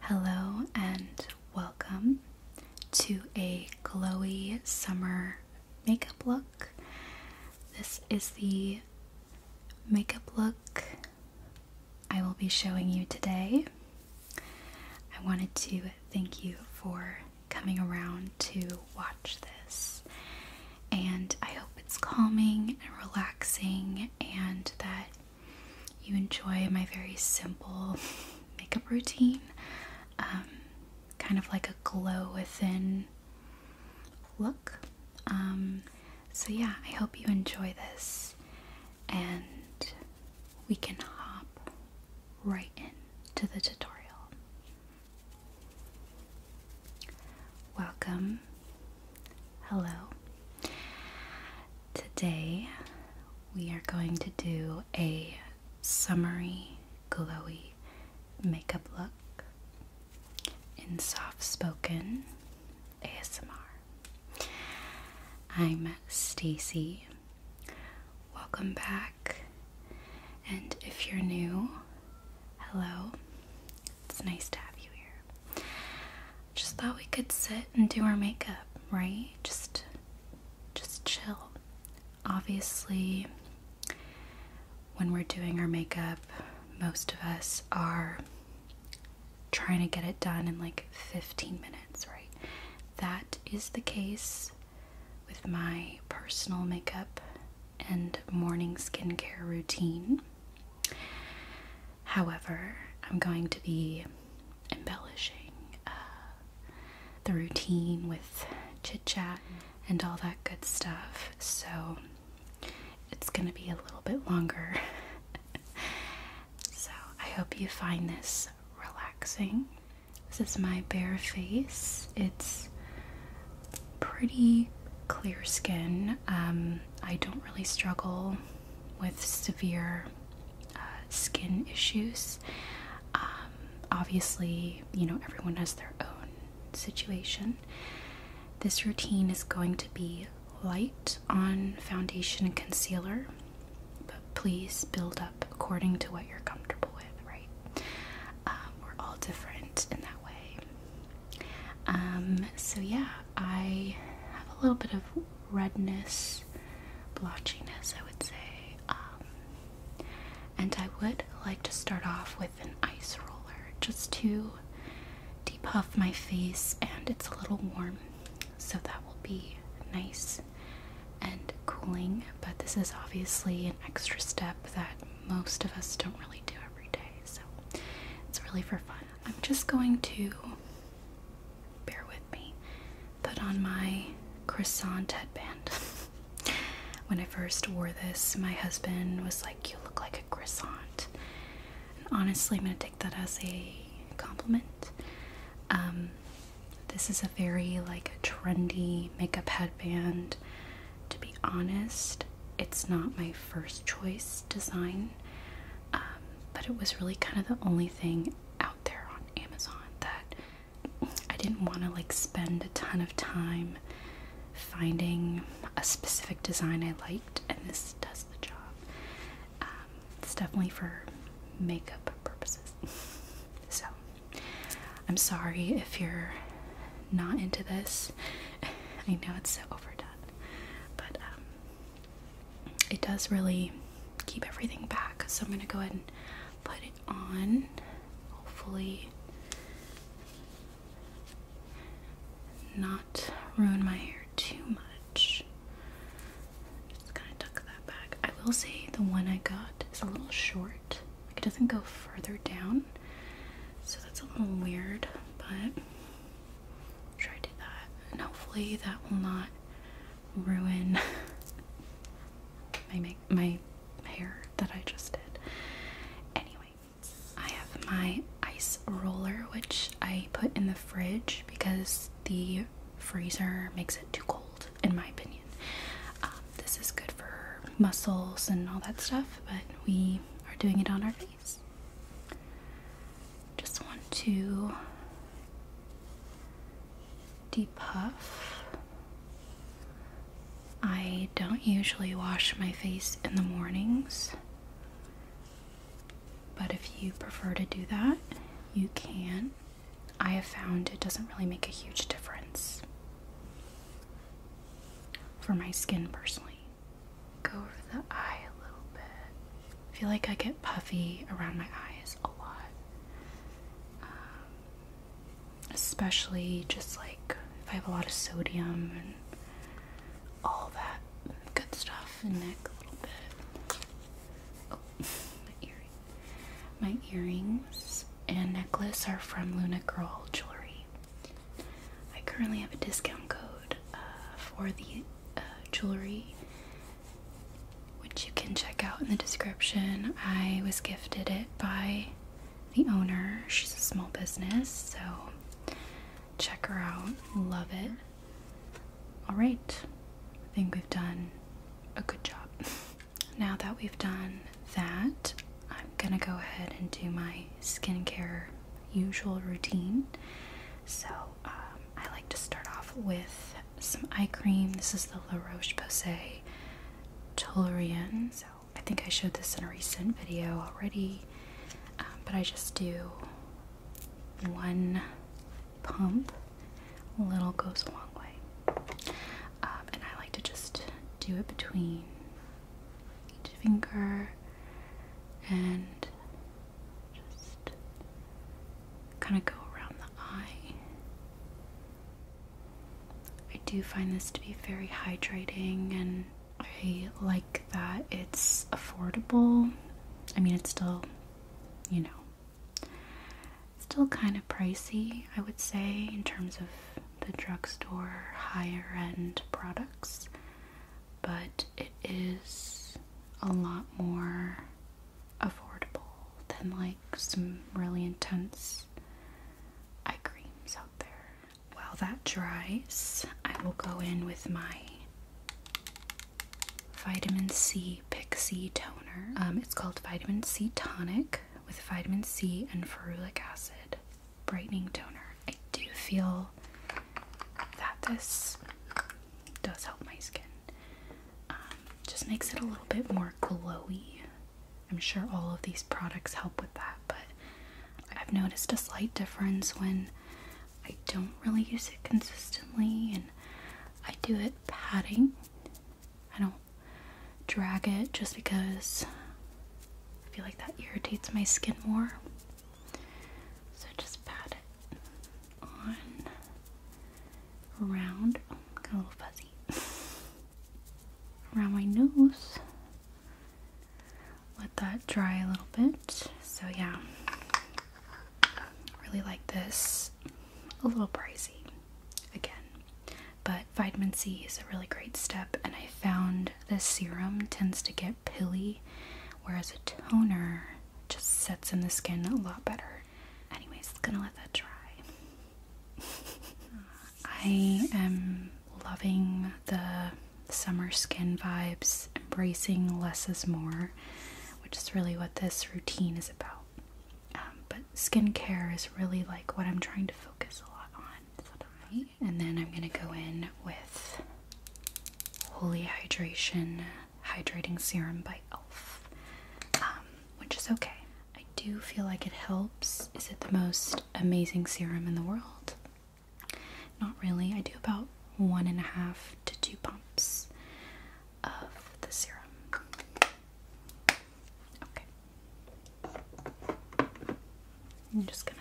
Hello and welcome to a glowy summer makeup look. This is the makeup look I will be showing you today. I wanted to thank you for coming around to watch this, and I hope it's calming and relaxing, and that you enjoy my very simple makeup routine, um, kind of like a glow within look. Um, so, yeah, I hope you enjoy this and we can hop right into the tutorial. Welcome Hello. Today we are going to do a summery, glowy makeup look in soft spoken ASMR. I'm Stacy. Welcome back. And if you're new, hello. It's nice to have you here. Just thought we could sit and do our makeup, right? Just just chill. Obviously, when we're doing our makeup, most of us are trying to get it done in like 15 minutes, right? That is the case with my personal makeup and morning skincare routine. However, I'm going to be embellishing uh, the routine with chit chat and all that good stuff, so it's going to be a little bit longer. so I hope you find this relaxing. This is my bare face. It's pretty clear skin. Um, I don't really struggle with severe uh, skin issues. Um, obviously, you know, everyone has their own situation. This routine is going to be light on foundation and concealer, but please build up according to what you're comfortable with, right? Um, we're all different in that way. Um, so, yeah, I have a little bit of redness, blotchiness, I would say. Um, and I would like to start off with an ice roller just to depuff my face, and it's a little warm, so that will be nice and cooling. But this is obviously an extra step that most of us don't really do every day, so it's really for fun. I'm just going to bear with me, put on my croissant headband. when I first wore this, my husband was like, You look like a croissant. And honestly, I'm going to take that as a compliment. Um, this is a very like a trendy makeup headband. To be honest, it's not my first choice design. Um, but it was really kind of the only thing out there on Amazon that I didn't want to like spend a ton of time finding a specific design I liked, and this does the job. Um, it's definitely for makeup purposes. so, I'm sorry if you're not into this. I know it's so overdone, but um, it does really keep everything back. So I'm going to go ahead and put it on. Hopefully, not ruin my hair too much. Just gonna tuck that back. I will say the one I got is a little short. Like it doesn't go further down. So that's a little weird, but try to do that and hopefully that will not ruin my my hair that I just did. Anyway, I have my ice roller which I put in the fridge because the freezer makes it too cold in my opinion. Um, this is good for muscles and all that stuff, but we are doing it on our face these. Just want to depuff. I don't usually wash my face in the mornings, but if you prefer to do that, you can. I have found it doesn't really make a huge difference for my skin personally go over the eye a little bit. I feel like I get puffy around my eyes a lot. Um, especially just like if I have a lot of sodium and all that good stuff. The neck a little bit. Oh, my earring. My earrings and necklace are from Luna Girl Jewelry. I currently have a discount code uh, for the uh, jewelry which you can check out in the description. I was gifted it by the owner. She's a small business, so check her out. Love it. All right, I think we've done a good job. Now that we've done that, I'm gonna go ahead and do my skincare usual routine. So um, I like to start off with some eye cream. This is the La Roche Posay Tolerian. So I think I showed this in a recent video already, um, but I just do one pump. A little goes a long way, um, and I like to just do it between each finger and just kind of go around the eye. I do find this to be very hydrating, and I like that it's affordable. I mean, it's still, you know, still kind of pricey, I would say, in terms of the drugstore higher end products, but it is a lot more affordable than like some really intense eye creams out there. While that dries, I will go in with my vitamin C pixie toner. Um, it's called vitamin C tonic with vitamin C and ferulic acid brightening toner. I do feel that this does help my skin. Um, just makes it a little bit more glowy. I'm sure all of these products help with that, but I've noticed a slight difference when I don't really use it consistently and I do it patting. I don't drag it just because I feel like that irritates my skin more. So just pat it on around, oh, got a little fuzzy, around my nose. Let that dry a little bit. So yeah, really like this. A little pricey, again. But vitamin C is a really great step, and I found this serum tends to get pilly, whereas a toner just sets in the skin a lot better. Anyways, gonna let that dry. I am loving the summer skin vibes, embracing less is more, which is really what this routine is about. Um, but skincare is really like what I'm trying to focus a lot on. And then I'm gonna go in with Holy Hydration Hydrating Serum by e.l.f., um, which is okay. I do feel like it helps. Is it the most amazing serum in the world? Not really. I do about one and a half to two pumps of the serum. Okay. I'm just gonna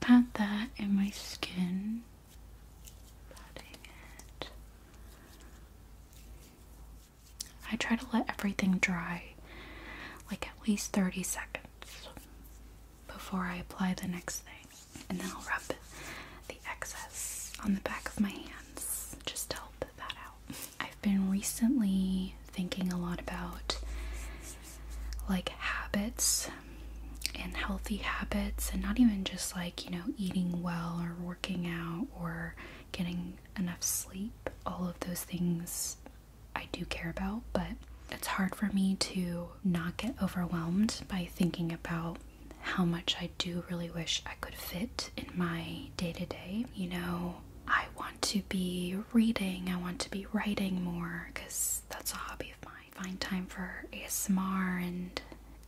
pat that in my skin. I try to let everything dry like at least 30 seconds before I apply the next thing, and then I'll rub the excess on the back of my hands just to help that out. I've been recently thinking a lot about like habits and healthy habits, and not even just like, you know, eating well or working out or getting enough sleep. All of those things I do care about, but it's hard for me to not get overwhelmed by thinking about how much I do really wish I could fit in my day to day. You know, I want to be reading, I want to be writing more because that's a hobby of mine find time for ASMR and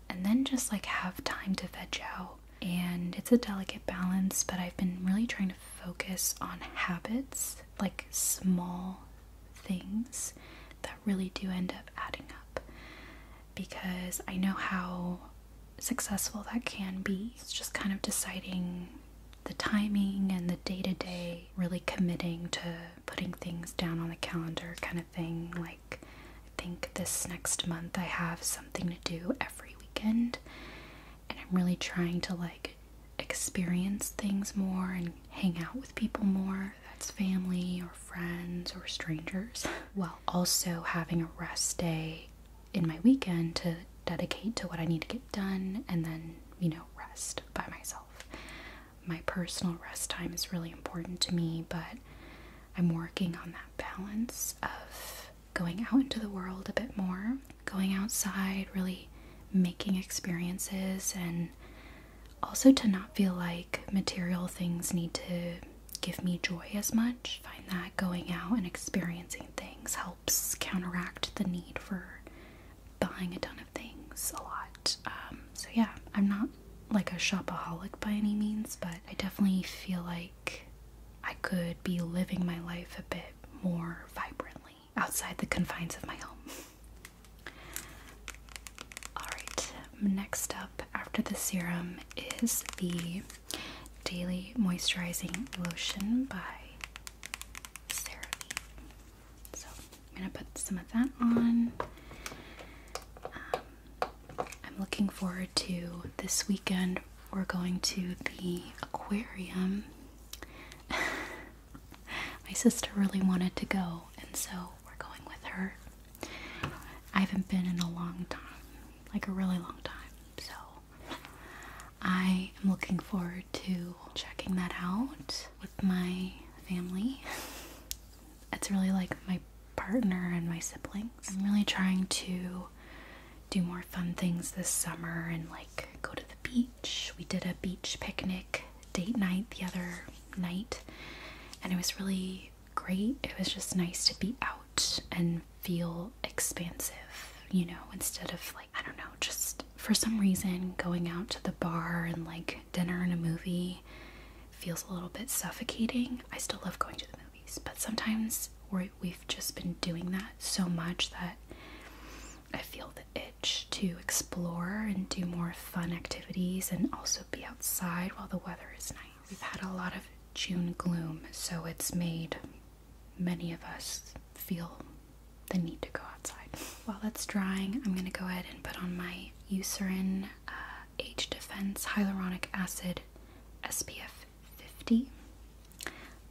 and then just like have time to veg out. And it's a delicate balance, but I've been really trying to focus on habits, like small things that really do end up adding up because I know how successful that can be. just kind of deciding the timing and the day to day, really committing to putting things down on the calendar kind of thing. Like I think this next month I have something to do every weekend and I'm really trying to like experience things more and hang out with people more that's family or friends or strangers while also having a rest day in my weekend to dedicate to what I need to get done and then you know rest by myself my personal rest time is really important to me, but I'm working on that balance of going out into the world a bit more, going outside, really making experiences, and also to not feel like material things need to give me joy as much. find that going out and experiencing things helps counteract the need for buying a ton of things a lot. Um, so, yeah, I'm not like a shopaholic by any means, but I definitely feel like I could be living my life a bit more vibrantly outside the confines of my home. Alright, next up after the serum is the Daily Moisturizing Lotion by CeraVe. So I'm gonna put some of that on. Um, I'm looking forward to this weekend. We're going to the aquarium. My sister really wanted to go, and so we're going with her. I haven't been in a long time, like a really long time. So I am looking forward to checking that out with my family. it's really like my partner and my siblings. I'm really trying to do more fun things this summer and like go to the beach. We did a beach picnic date night the other night and it was really great. It was just nice to be out and feel expansive, you know, instead of like, I don't know, just for some reason going out to the bar and like dinner and a movie feels a little bit suffocating. I still love going to the movies, but sometimes we have just been doing that so much that I feel the itch to explore and do more fun activities and also be outside while the weather is nice. We've had a lot of June gloom, so it's made many of us feel the need to go outside. While that's drying, I'm gonna go ahead and put on my Eucerin uh, H Defense Hyaluronic Acid SPF 50.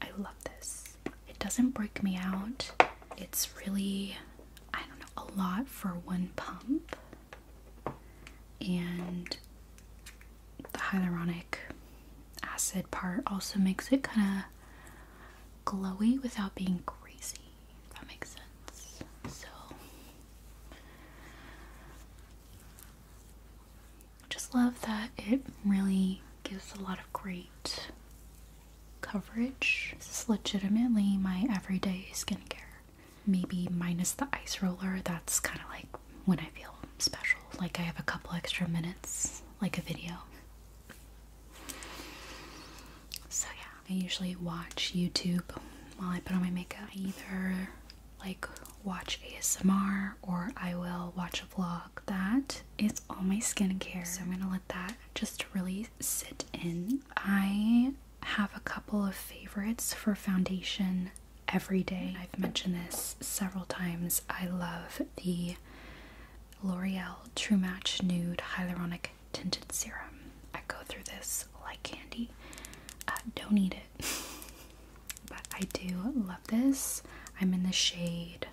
I love this. It doesn't break me out. It's really, I don't know, a lot for one pump. And the hyaluronic acid part also makes it kind of glowy without being greasy that makes sense. So just love that it really gives a lot of great coverage. This is legitimately my everyday skincare. Maybe minus the ice roller, that's kind of like when I feel special, like I have a couple extra minutes, like a video. So, yeah, I usually watch YouTube while I put on my makeup. either like watch ASMR or I will watch a vlog. That is all my skincare. So I'm gonna let that just really sit in. I have a couple of favorites for foundation every day. I've mentioned this several times. I love the L'Oreal True Match Nude Hyaluronic tinted serum. I go through this like candy. Uh, don't eat it. but I do love this. I'm in the shade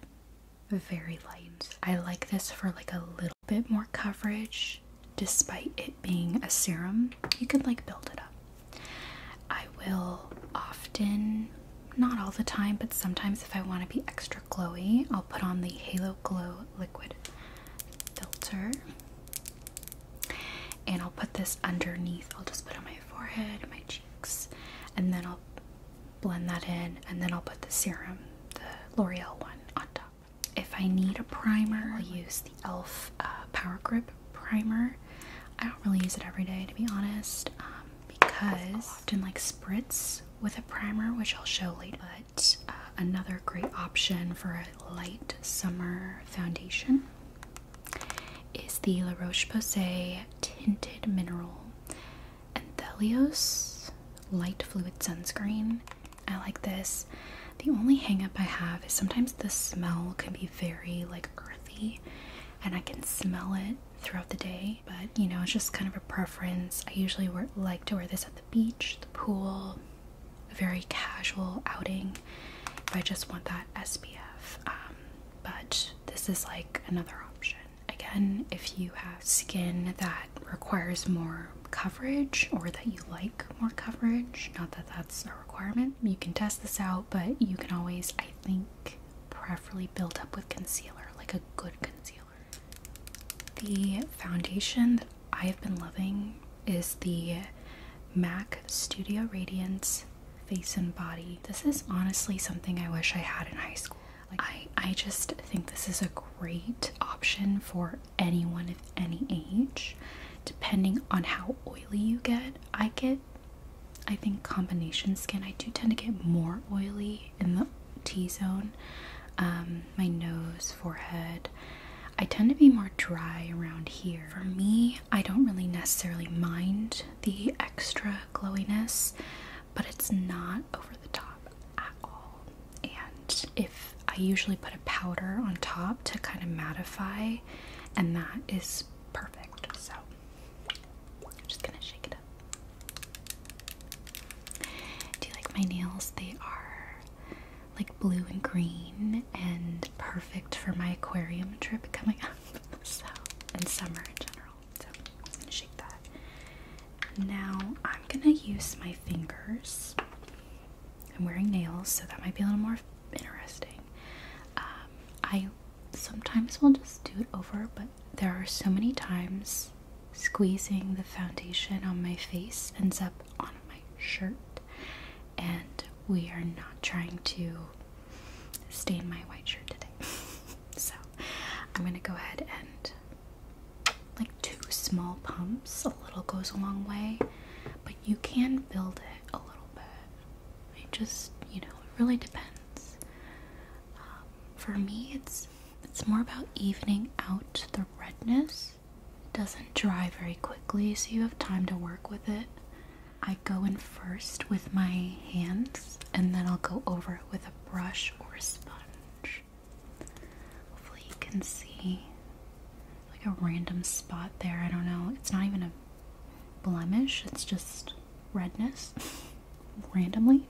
very light. I like this for like a little bit more coverage despite it being a serum. You can like build it up. I will often, not all the time, but sometimes if I want to be extra glowy, I'll put on the Halo Glow liquid filter and I'll put this underneath. I'll just put on my forehead, my cheeks, and then I'll blend that in. And then I'll put the serum, the L'Oreal one, on top. If I need a primer, I'll use the e.l.f. Uh, Power Grip Primer. I don't really use it every day, to be honest, um, because I'll often like spritz with a primer, which I'll show later. Uh, another great option for a light summer foundation is the La Roche Posay Tinted Mineral Anthelios Light Fluid Sunscreen. I like this. The only hangup I have is sometimes the smell can be very like earthy and I can smell it throughout the day, but you know, it's just kind of a preference. I usually like to wear this at the beach, the pool, a very casual outing if I just want that SPF. Um, but this is like another option. Again, if you have skin that requires more coverage or that you like more coverage, not that that's a requirement, you can test this out, but you can always, I think, preferably build up with concealer, like a good concealer. The foundation that I have been loving is the MAC Studio Radiance Face and Body. This is honestly something I wish I had in high school. Like, I, I just think this is a great option for anyone of any age, depending on how oily you get. I get, I think, combination skin. I do tend to get more oily in the T zone. Um, my nose, forehead, I tend to be more dry around here. For me, I don't really necessarily mind the extra glowiness, but it's not over the top at all. And if I usually put a powder on top to kind of mattify, and that is perfect. So I'm just gonna shake it up. Do you like my nails? They are like blue and green and perfect for my aquarium trip coming up. So, and summer in general. So, I'm gonna shake that. Now, I'm gonna use my fingers. I'm wearing nails, so that might be a little more interesting. Um, I sometimes will just do it over, but there are so many times squeezing the foundation on my face ends up on my shirt and we are not trying to stain my white shirt today. so I'm gonna go ahead and like two small pumps, a little goes a long way, but you can build it a little bit. It just, you know, it really depends. Um, for me, it's it's more about evening out the redness it doesn't dry very quickly, so you have time to work with it. I go in first with my hands, and then I'll go over it with a brush or a sponge. Hopefully, you can see like a random spot there. I don't know, it's not even a blemish, it's just redness randomly.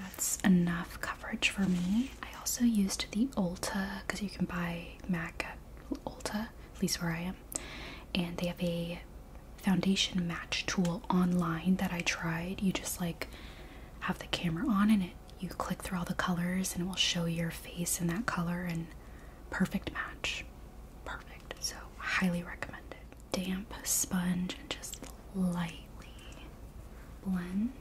That's enough coverage for me. I also used the Ulta because you can buy MAC Ulta, at least where I am, and they have a foundation match tool online that I tried. You just like have the camera on and it you click through all the colors and it will show your face in that color and perfect match. Perfect. So highly recommend it. Damp sponge and just lightly blend.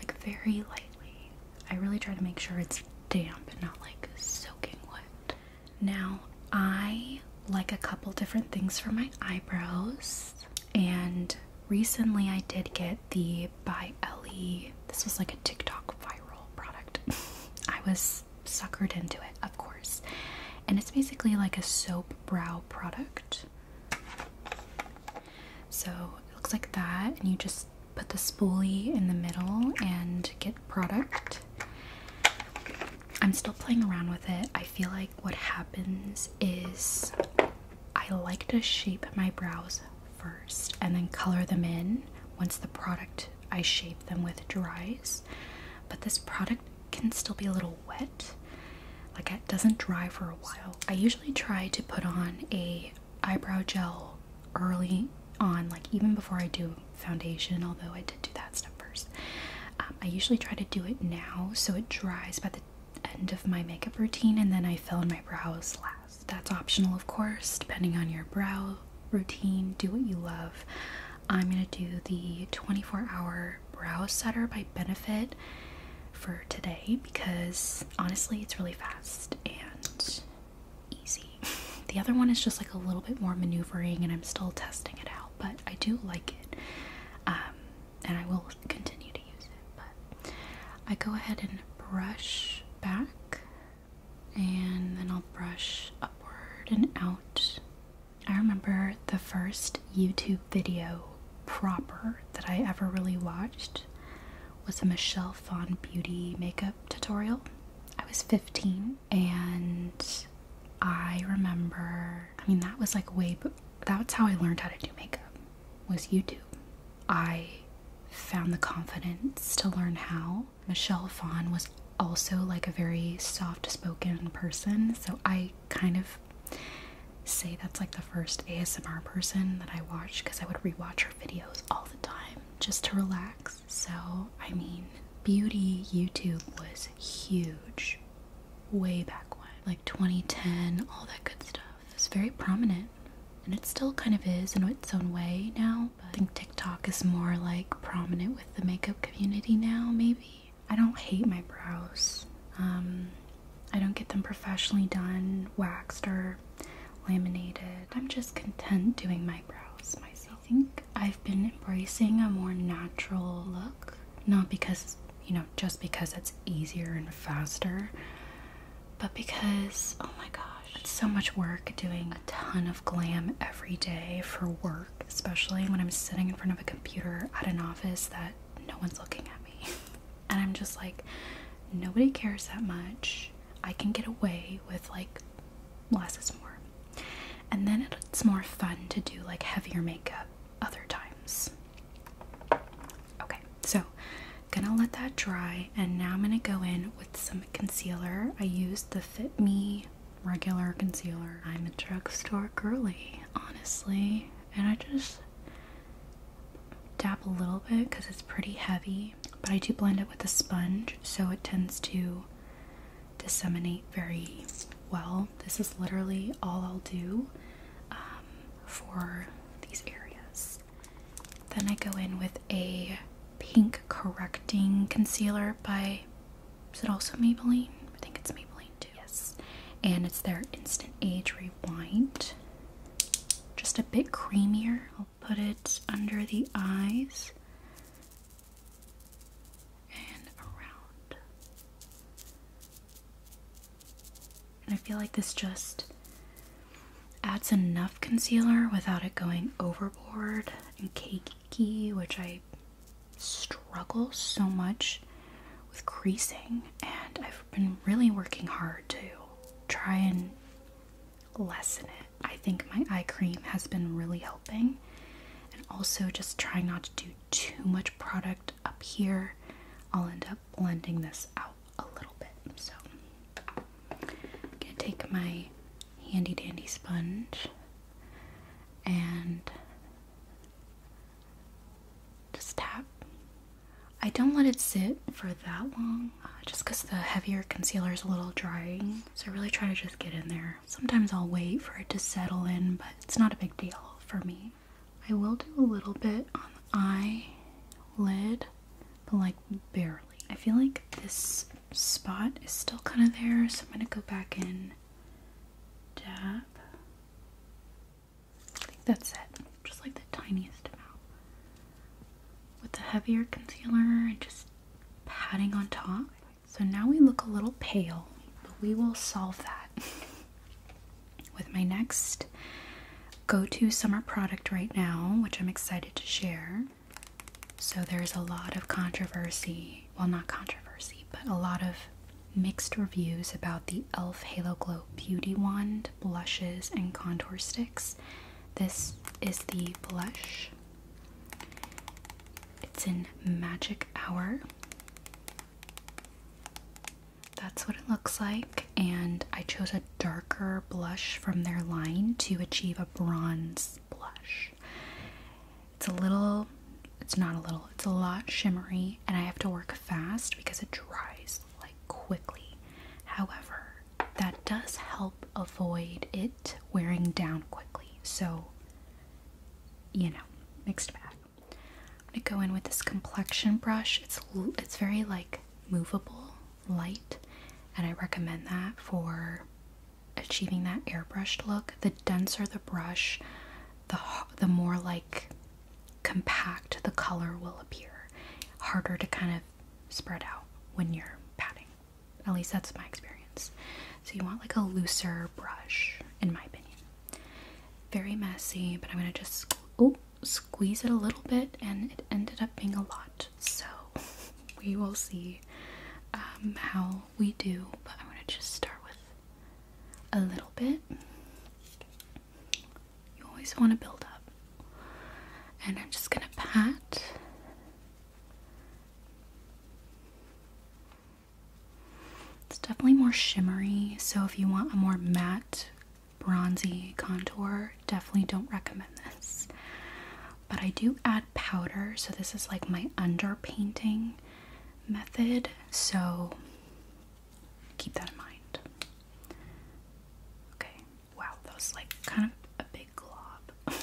Like very lightly. I really try to make sure it's damp and not like soaking wet. Now, I like a couple different things for my eyebrows, and recently I did get the By Ellie. This was like a TikTok viral product. I was suckered into it, of course. And it's basically like a soap brow product. So it looks like that, and you just put the spoolie in the middle and get product. I'm still playing around with it. I feel like what happens is I like to shape my brows first and then color them in once the product I shape them with dries. But this product can still be a little wet. Like it doesn't dry for a while. I usually try to put on a eyebrow gel early on, like even before I do foundation, although I did do that stuff first. Um, I usually try to do it now so it dries by the end of my makeup routine and then I fill in my brows last. That's optional, of course, depending on your brow routine. Do what you love. I'm going to do the 24 hour brow setter by Benefit for today because honestly, it's really fast and easy. The other one is just like a little bit more maneuvering, and I'm still testing it out, but I do like it. Um, and I will continue to use it. But I go ahead and brush back, and then I'll brush upward and out. I remember the first YouTube video proper that I ever really watched was a Michelle Fawn beauty makeup tutorial. I was 15 and I remember, I mean, that was like way, that's how I learned how to do makeup was YouTube. I found the confidence to learn how. Michelle Fawn was also like a very soft spoken person, so I kind of say that's like the first ASMR person that I watched because I would rewatch her videos all the time just to relax. So, I mean, beauty YouTube was huge way back when, like 2010, all that good stuff. It's very prominent. And it still kind of is in its own way now. I think TikTok is more like prominent with the makeup community now, maybe. I don't hate my brows. Um, I don't get them professionally done, waxed, or laminated. I'm just content doing my brows myself. I think I've been embracing a more natural look, not because, you know, just because it's easier and faster, but because, oh my gosh, it's so much work doing a ton of glam every day for work, especially when I'm sitting in front of a computer at an office that no one's looking at me. and I'm just like, nobody cares that much. I can get away with like less is more. And then it's more fun to do like heavier makeup other times. Okay, so gonna let that dry and now I'm gonna go in with some concealer. I used the Fit Me regular concealer. I'm a drugstore girly, honestly, and I just dab a little bit because it's pretty heavy but I do blend it with a sponge, so it tends to disseminate very well. This is literally all I'll do um, for these areas. Then I go in with a pink correcting concealer by, is it also Maybelline? I think it's Maybelline too. Yes. And it's their Instant Age Rewind. Just a bit creamier put it under the eyes and around. And I feel like this just adds enough concealer without it going overboard and cakey, which I struggle so much with creasing. And I've been really working hard to try and lessen it. I think my eye cream has been really helping, and also just trying not to do too much product up here. I'll end up blending this out a little bit. So, I'm gonna take my handy dandy sponge and just tap I don't let it sit for that long uh, just because the heavier concealer is a little drying. So I really try to just get in there. Sometimes I'll wait for it to settle in, but it's not a big deal for me. I will do a little bit on the eye lid, but like barely. I feel like this spot is still kind of there, so I'm going to go back in, dab. I think that's it just like the tiniest amount. With the heavier concealer and just patting on top. So now we look a little pale, but we will solve that with my next go-to summer product right now, which I'm excited to share. So there's a lot of controversy, well not controversy, but a lot of mixed reviews about the e.l.f. Halo Glow Beauty Wand Blushes and Contour Sticks. This is the blush. It's in Magic Hour. That's what it looks like, and I chose a darker blush from their line to achieve a bronze blush. It's a little, it's not a little, it's a lot shimmery, and I have to work fast because it dries like quickly. However, that does help avoid it wearing down quickly. So, you know, mixed bag. I'm gonna go in with this complexion brush. It's it's very like movable, light, and I recommend that for achieving that airbrushed look. The denser the brush, the the more like compact the color will appear. Harder to kind of spread out when you're patting. At least that's my experience. So you want like a looser brush, in my opinion. Very messy, but I'm gonna just oh, squeeze it a little bit, and it ended up being a lot. So we will see um, how we do, but I'm gonna just start with a little bit. You always want to build up. And I'm just going to pat. It's definitely more shimmery, so if you want a more matte, bronzy contour, definitely don't recommend this. But I do add powder, so this is like my underpainting method, so keep that in mind. Okay, Wow, that was like kind of a big glob.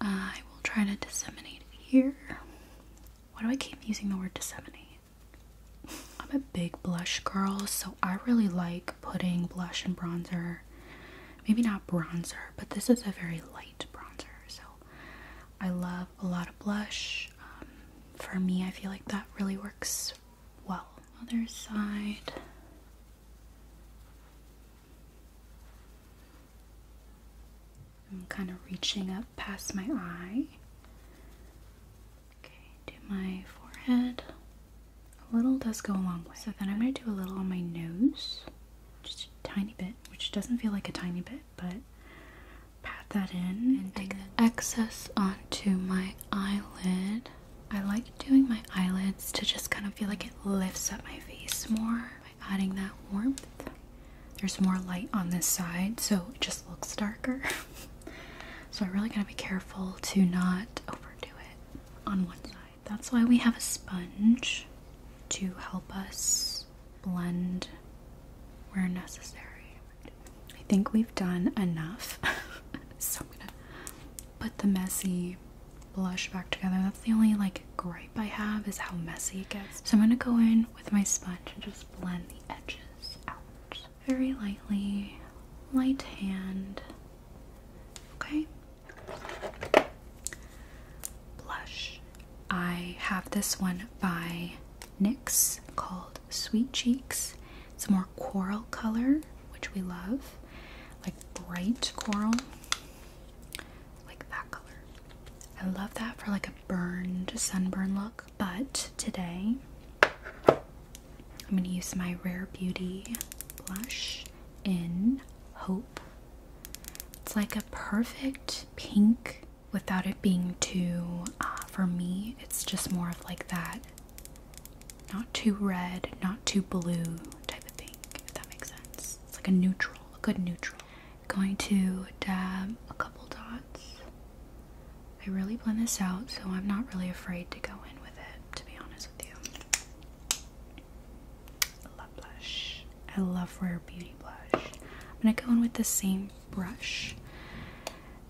Uh, I will try to disseminate it here. Why do I keep using the word disseminate? I'm a big blush girl, so I really like putting blush and bronzer. Maybe not bronzer, but this is a very light bronzer, so I love a lot of blush. Um, for me, I feel like that really works well. Other side. I'm kind of reaching up past my eye. Okay, do my forehead. A little does go a long way. So then I'm going to do a little on my nose. Just a tiny bit, which doesn't feel like a tiny bit, but pat that in and take the excess onto my eyelid. I like doing my eyelids to just kind of feel like it lifts up my face more by adding that warmth. There's more light on this side, so it just looks darker. so I really gotta be careful to not overdo it on one side. That's why we have a sponge to help us blend where necessary. I think we've done enough. so I'm gonna put the messy blush back together. That's the only like gripe I have is how messy it gets. So I'm gonna go in with my sponge and just blend the edges out very lightly, light hand. Okay. Blush. I have this one by NYX called Sweet Cheeks. It's more coral color, which we love, like bright coral, like that color. I love that for like a burned sunburn look. But today, I'm gonna use my Rare Beauty blush in Hope. It's like a perfect pink without it being too, uh, for me, it's just more of like that not too red, not too blue type of thing, if that makes sense. It's like a neutral, a good neutral. Going to dab a couple dots. I really blend this out, so I'm not really afraid to go in with it, to be honest with you. I love blush. I love Rare Beauty blush. I'm going to go in with the same brush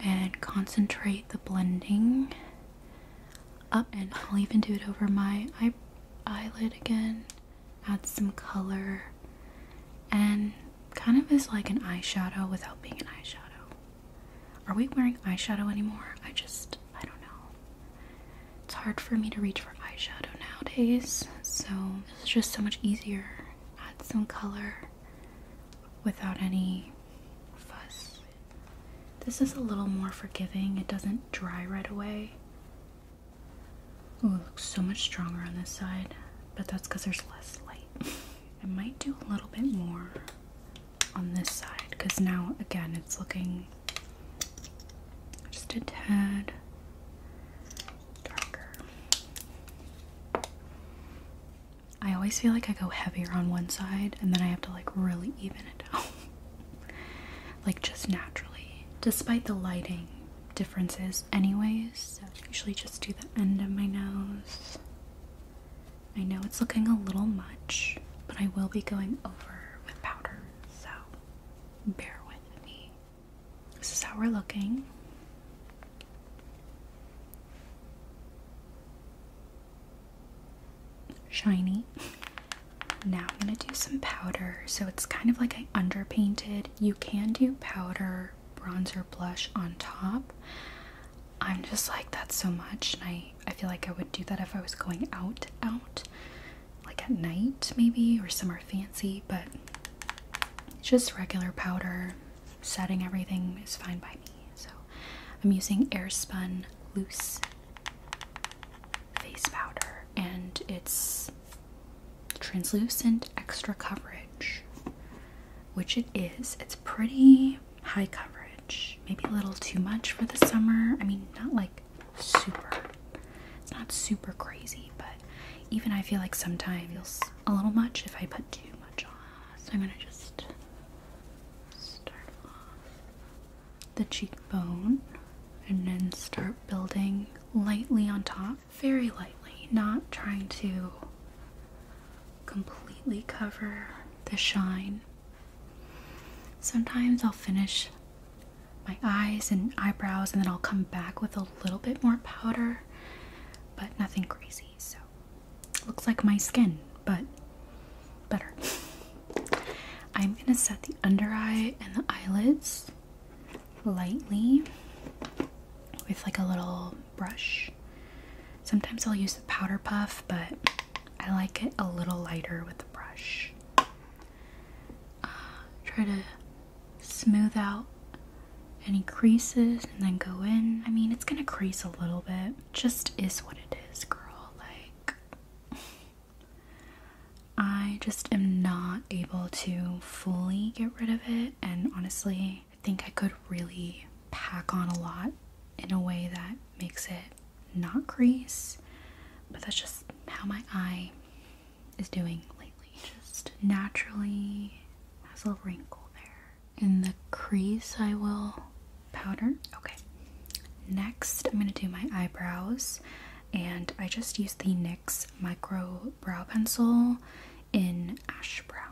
and concentrate the blending up and I'll even do it over my eyelid again add some color and kind of is like an eyeshadow without being an eyeshadow are we wearing eyeshadow anymore I just I don't know it's hard for me to reach for eyeshadow nowadays so it's just so much easier add some color without any fuss this is a little more forgiving. It doesn't dry right away. Oh, it looks so much stronger on this side, but that's because there's less light. I might do a little bit more on this side because now, again, it's looking just a tad darker. I always feel like I go heavier on one side and then I have to like really even it out like just naturally, despite the lighting differences, anyways. So I usually just do the end of my nose. I know it's looking a little much, but I will be going over with powder, so bear with me. This is how we're looking shiny. Now I'm going to do some powder. So it's kind of like I underpainted. You can do powder, bronzer, blush on top. I'm just like, that so much. And I, I feel like I would do that if I was going out, out. Like at night maybe or somewhere fancy. But just regular powder. Setting everything is fine by me. So I'm using Airspun Loose Face Powder, and it's translucent extra coverage, which it is. It's pretty high coverage, maybe a little too much for the summer. I mean, not like super. It's not super crazy, but even I feel like sometimes it feels a little much if I put too much on. So I'm gonna just start off the cheekbone and then start building lightly on top, very lightly, not trying to completely cover the shine. Sometimes I'll finish my eyes and eyebrows and then I'll come back with a little bit more powder, but nothing crazy. So, looks like my skin, but better. I'm going to set the under eye and the eyelids lightly with like a little brush. Sometimes I'll use the powder puff, but I like it a little lighter with the brush. Uh, try to smooth out any creases and then go in. I mean, it's gonna crease a little bit. Just is what it is, girl. Like, I just am not able to fully get rid of it, and honestly, I think I could really pack on a lot in a way that makes it not crease, but that's just how my eye is doing lately. Just naturally has a wrinkle there. In the crease, I will powder. Okay. Next, I'm going to do my eyebrows. And I just use the NYX Micro Brow Pencil in Ash Brown.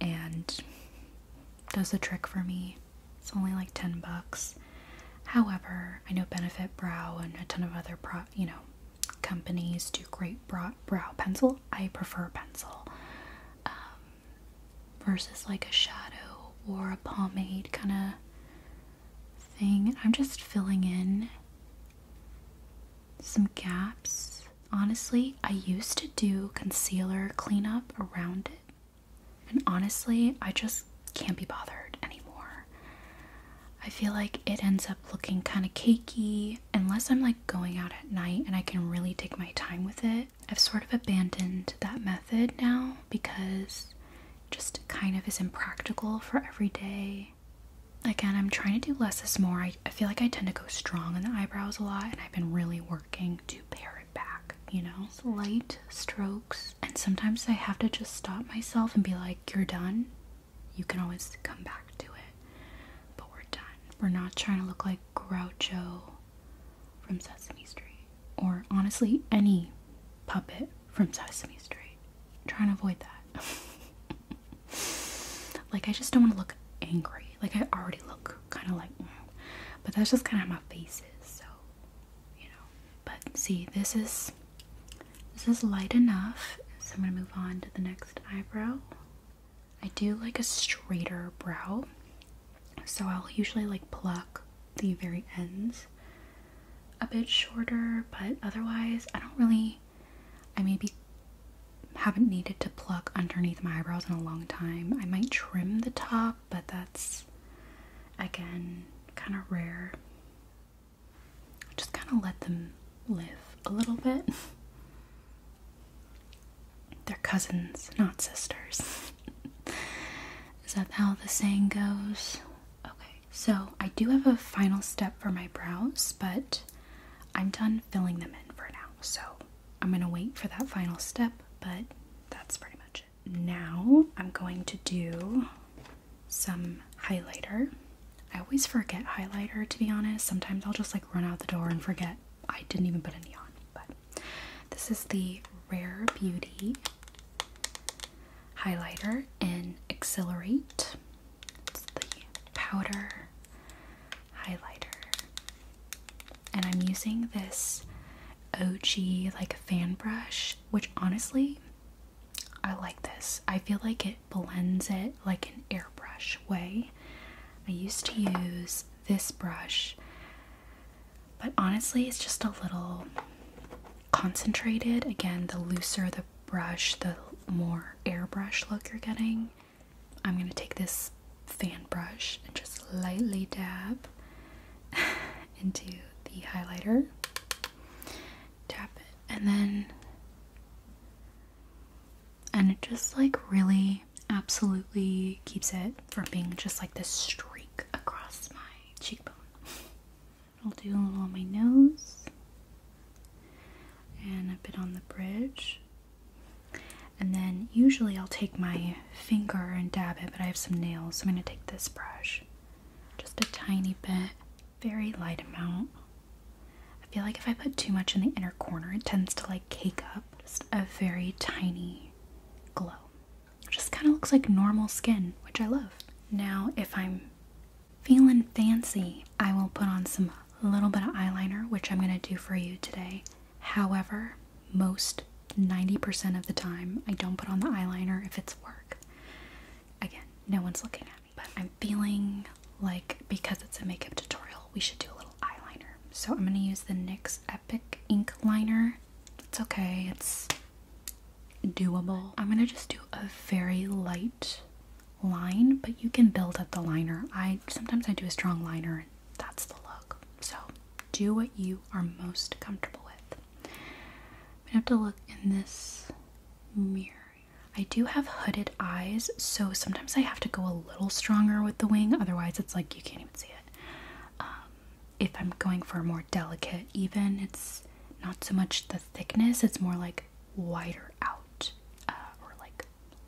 And does the trick for me. It's only like 10 bucks. However, I know Benefit Brow and a ton of other pro, you know, companies do great brow, brow pencil. I prefer pencil. Um, versus like a shadow or a pomade kind of thing. I'm just filling in some gaps. Honestly, I used to do concealer cleanup around it. And honestly, I just can't be bothered anymore. I feel like it ends up looking kind of cakey unless I'm like going out at night and I can really take my time with it. I've sort of abandoned that method now because just kind of is impractical for every day. Again, I'm trying to do less is more. I, I feel like I tend to go strong in the eyebrows a lot, and I've been really working to pare it back, you know? Light strokes, and sometimes I have to just stop myself and be like, You're done. You can always come back to it, but we're done. We're not trying to look like Groucho from Sesame Street, or honestly, any puppet from Sesame Street. Try and avoid that. like, I just don't want to look angry. Like, I already look kind of like, mm. but that's just kind of how my face is. So, you know. But see, this is this is light enough. So I'm gonna move on to the next eyebrow. I do like a straighter brow. So I'll usually like pluck the very ends a bit shorter, but otherwise, I don't really. I maybe haven't needed to pluck underneath my eyebrows in a long time. I might trim the top, but that's again kind of rare. Just kind of let them live a little bit. They're cousins, not sisters. Is that how the saying goes? Okay, so I do have a final step for my brows, but I'm done filling them in for now. So I'm gonna wait for that final step, but that's pretty much it. Now I'm going to do some highlighter. I always forget highlighter to be honest. Sometimes I'll just like run out the door and forget I didn't even put any on, but this is the Rare Beauty highlighter in Accelerate. the powder highlighter. And I'm using this OG like fan brush, which honestly, I like this. I feel like it blends it like an airbrush way. I used to use this brush but honestly, it's just a little concentrated. Again, the looser the brush, the more airbrush look you're getting. I'm going to take this fan brush and just lightly dab into the highlighter. Tap it. And then. And it just like really absolutely keeps it from being just like this streak across my cheekbone. I'll do a little on my nose and a bit on the bridge. And then usually I'll take my finger and dab it, but I have some nails, so I'm going to take this brush. Just a tiny bit, very light amount. I feel like if I put too much in the inner corner, it tends to like cake up. Just a very tiny glow just kind of looks like normal skin, which I love. Now, if I'm feeling fancy, I will put on some little bit of eyeliner, which I'm going to do for you today. However, most 90% of the time, I don't put on the eyeliner if it's work. Again, no one's looking at me, but I'm feeling like because it's a makeup tutorial, we should do a little eyeliner. So I'm going to use the NYX epic ink liner it's okay it's doable i'm gonna just do a very light line but you can build up the liner i sometimes i do a strong liner and that's the look so do what you are most comfortable with i have to look in this mirror i do have hooded eyes so sometimes i have to go a little stronger with the wing otherwise it's like you can't even see it um, if I'm going for a more delicate even, it's not so much the thickness, it's more like wider out uh, or like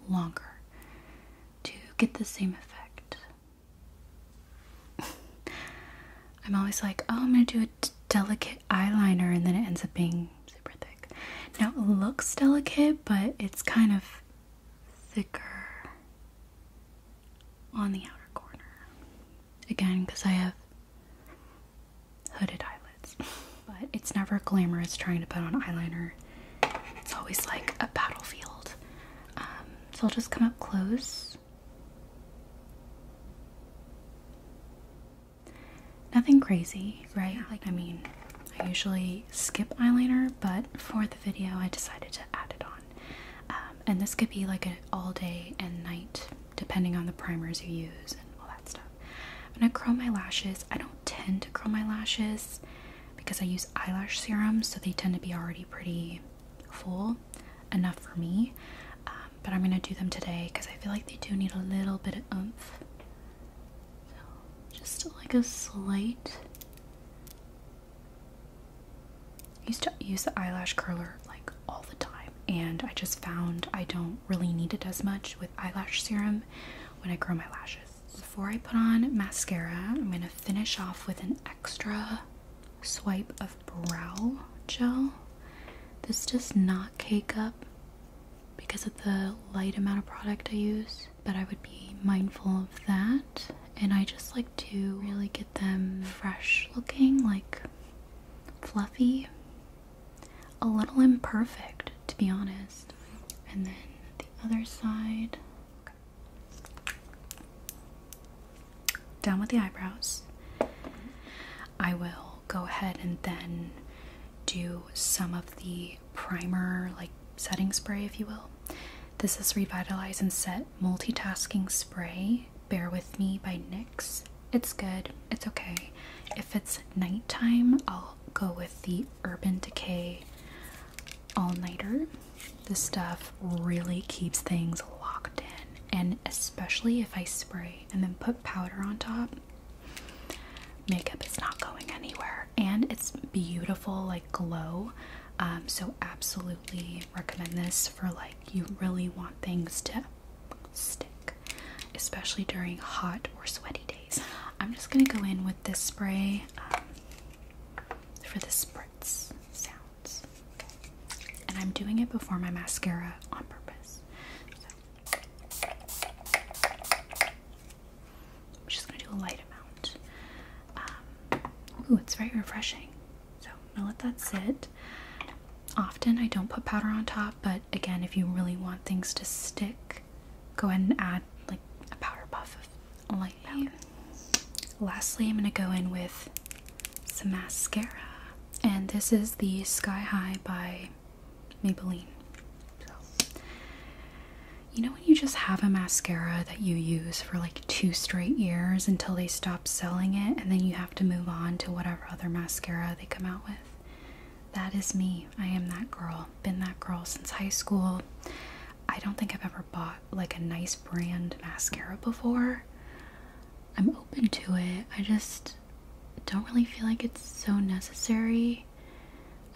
longer to get the same effect. I'm always like, oh, I'm gonna do a delicate eyeliner, and then it ends up being super thick. Now it looks delicate, but it's kind of thicker on the outer corner. Again, because I have hooded eyelids. But it's never glamorous trying to put on eyeliner. It's always like a battlefield. Um, so I'll just come up close. Nothing crazy, right? Like, I mean, I usually skip eyeliner, but for the video, I decided to add it on. Um, and this could be like an all day and night, depending on the primers you use and all that stuff. I'm gonna curl my lashes. I don't tend to curl my lashes because I use eyelash serums, so they tend to be already pretty full enough for me. Um, but I'm gonna do them today because I feel like they do need a little bit of oomph. So just like a slight I used to use the eyelash curler like all the time, and I just found I don't really need it as much with eyelash serum when I grow my lashes. Before I put on mascara, I'm gonna finish off with an extra swipe of brow gel. This does not cake up because of the light amount of product I use, but I would be mindful of that and I just like to really get them fresh looking, like fluffy, a little imperfect to be honest. And then the other side, down with the eyebrows. I will go ahead and then do some of the primer, like setting spray, if you will. This is Revitalize and Set Multitasking Spray Bear With Me by NYX. It's good, it's okay. If it's nighttime, I'll go with the Urban Decay All Nighter. This stuff really keeps things locked in, and especially if I spray and then put powder on top, makeup is not going anywhere. And it's beautiful, like glow. Um, so, absolutely recommend this for like you really want things to stick, especially during hot or sweaty days. I'm just gonna go in with this spray um, for the spritz sounds, okay. and I'm doing it before my mascara on purpose. I'm just gonna do a light amount. Um, ooh, it's very refreshing. So I'm gonna let that sit. Often I don't put powder on top, but again, if you really want things to stick, go ahead and add like a powder puff of light powder. Lastly, I'm gonna go in with some mascara, and this is the Sky High by Maybelline. you know when you just have a mascara that you use for like two straight years until they stop selling it, and then you have to move on to whatever other mascara they come out with. That is me. I am that girl. Been that girl since high school. I don't think I've ever bought like a nice brand mascara before. I'm open to it. I just don't really feel like it's so necessary.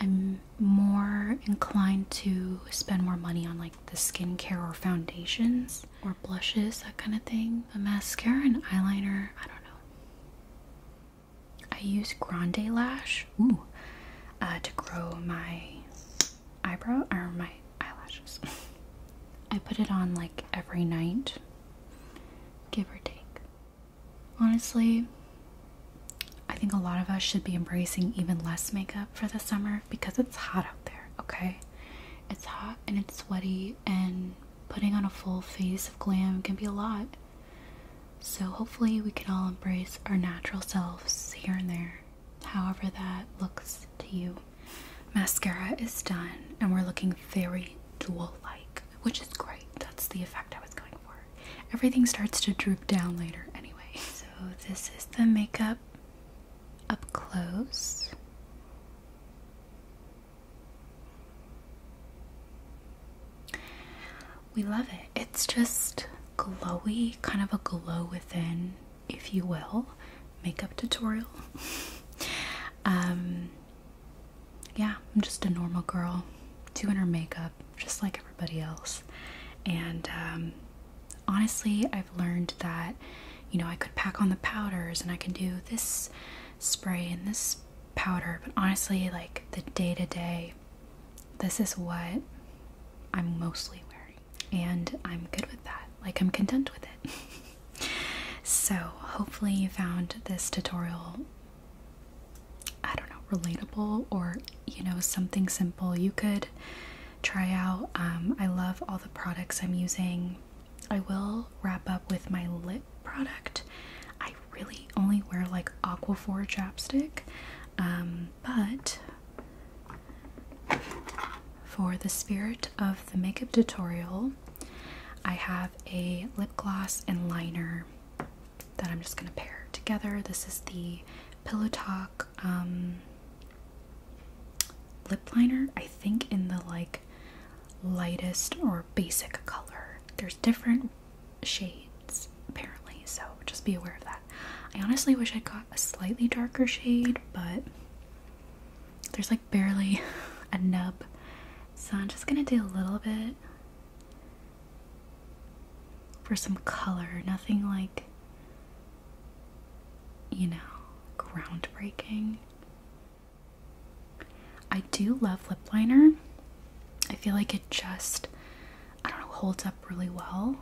I'm more inclined to spend more money on like the skincare or foundations or blushes, that kind of thing. A mascara and eyeliner, I don't know. I use Grande Lash ooh, uh, to grow my eyebrow or my eyelashes. I put it on like every night, give or take. Honestly, I think a lot of us should be embracing even less makeup for the summer because it's hot out there, okay? It's hot and it's sweaty, and putting on a full face of glam can be a lot. So, hopefully, we can all embrace our natural selves here and there, however that looks to you. Mascara is done, and we're looking very jewel like, which is great. That's the effect I was going for. Everything starts to droop down later, anyway. So, this is the makeup up close. We love it. It's just glowy, kind of a glow within, if you will, makeup tutorial. um, yeah, I'm just a normal girl doing her makeup just like everybody else. And um, honestly, I've learned that you know I could pack on the powders and I can do this spray and this powder, but honestly, like the day to day, this is what I'm mostly wearing, and I'm good with that. Like, I'm content with it. so, hopefully, you found this tutorial. I don't know, relatable or you know, something simple you could try out. Um, I love all the products I'm using. I will wrap up with my lip product. I really only wear like Aquaphor chapstick, um, but for the spirit of the makeup tutorial, I have a lip gloss and liner that I'm just gonna pair together. This is the Pillow Talk um, lip liner, I think, in the like lightest or basic color. There's different shades apparently, so just be aware of that. I honestly wish I got a slightly darker shade, but there's like barely a nub, so I'm just gonna do a little bit for some color, nothing like you know, groundbreaking. I do love lip liner. I feel like it just, I don't know, holds up really well.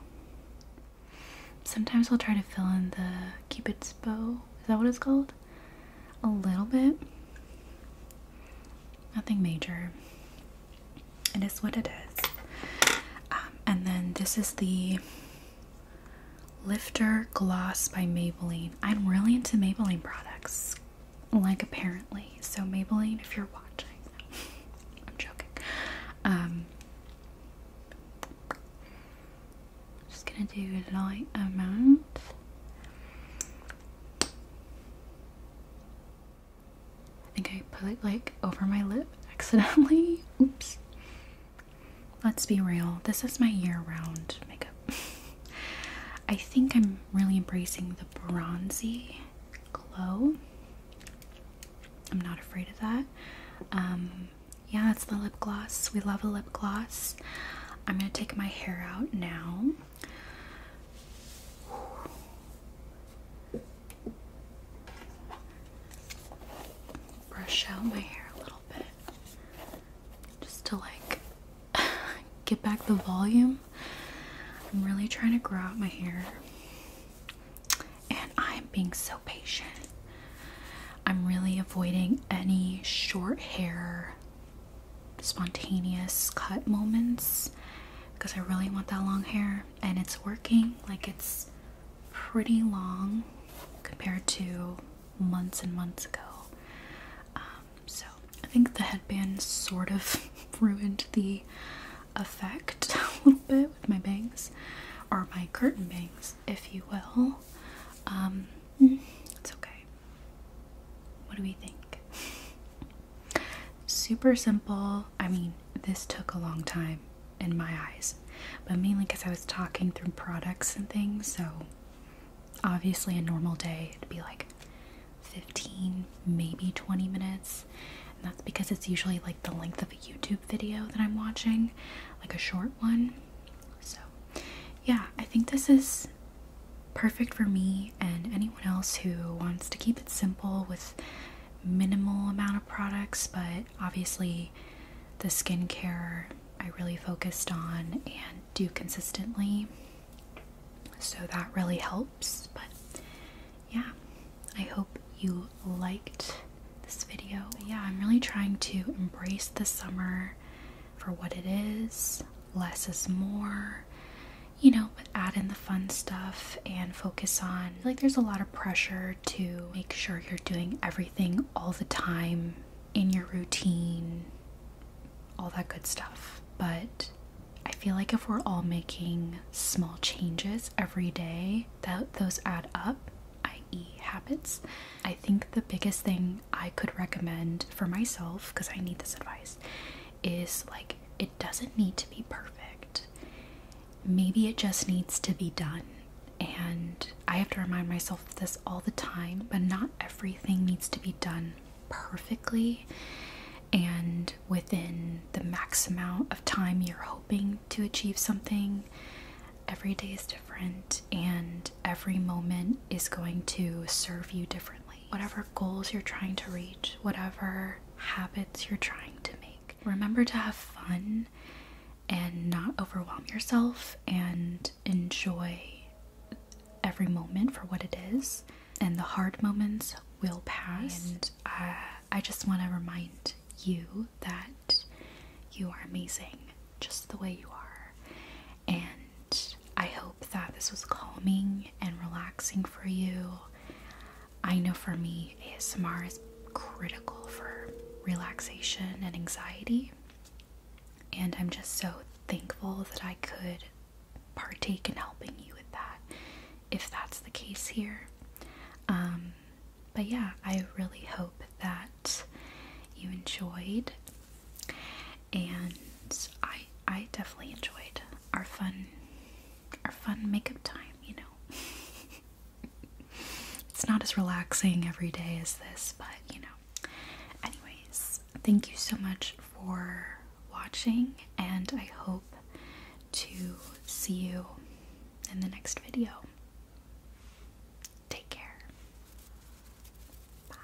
Sometimes I'll try to fill in the Cupid's bow. Is that what it's called? A little bit. Nothing major. It is what it is. Um, and then this is the Lifter Gloss by Maybelline. I'm really into Maybelline products, like apparently. So, Maybelline, if you're watching, I'm joking. Um, just gonna do a light amount. I think I put it like over my lip accidentally. Oops. Let's be real, this is my year round makeup. I think I'm really embracing the bronzy glow. I'm not afraid of that. Um, yeah, it's the lip gloss. We love a lip gloss. I'm gonna take my hair out now. Brush out my hair a little bit just to like get back the volume. I'm really trying to grow out my hair, and I'm being so patient. I'm really avoiding any short hair, spontaneous cut moments because I really want that long hair, and it's working. Like, it's pretty long compared to months and months ago. Um, so I think the headband sort of ruined the effect a little bit with my bangs, or my curtain bangs, if you will. Um, mm, it's okay. What do we think? Super simple. I mean, this took a long time in my eyes but mainly because I was talking through products and things. So, obviously, a normal day it'd be like 15, maybe 20 minutes. And that's because it's usually like the length of a YouTube video that I'm watching, like a short one. So, yeah, I think this is perfect for me and anyone else who wants to keep it simple with minimal amount of products, but obviously the skincare I really focused on and do consistently. So that really helps. But yeah, I hope you liked this video. yeah, I'm really trying to embrace the summer for what it is. Less is more, you know, but add in the fun stuff and focus on like there's a lot of pressure to make sure you're doing everything all the time in your routine, all that good stuff. But I feel like if we're all making small changes every day, that those add up, i.e., habits. I think the biggest thing I could recommend for myself, because I need this advice, is like it doesn't need to be perfect. Maybe it just needs to be done and I have to remind myself of this all the time, but not everything needs to be done perfectly and within the max amount of time you're hoping to achieve something. Every day is different, and every moment is going to serve you differently. Whatever goals you're trying to reach, whatever habits you're trying to make, remember to have fun and not overwhelm yourself and enjoy every moment for what it is. And the hard moments will pass. And uh, I just want to remind you that you are amazing just the way you are. And I hope that this was calming and relaxing for you. I know for me, ASMR is critical for relaxation and anxiety. And I'm just so thankful that I could partake in helping you with that if that's the case here. Um, but yeah, I really hope that you enjoyed and I I definitely enjoyed our fun our fun makeup time, you know. it's not as relaxing every day as this, but you know, Anyways, thank you so much for watching, and I hope to see you in the next video. Take care. Bye.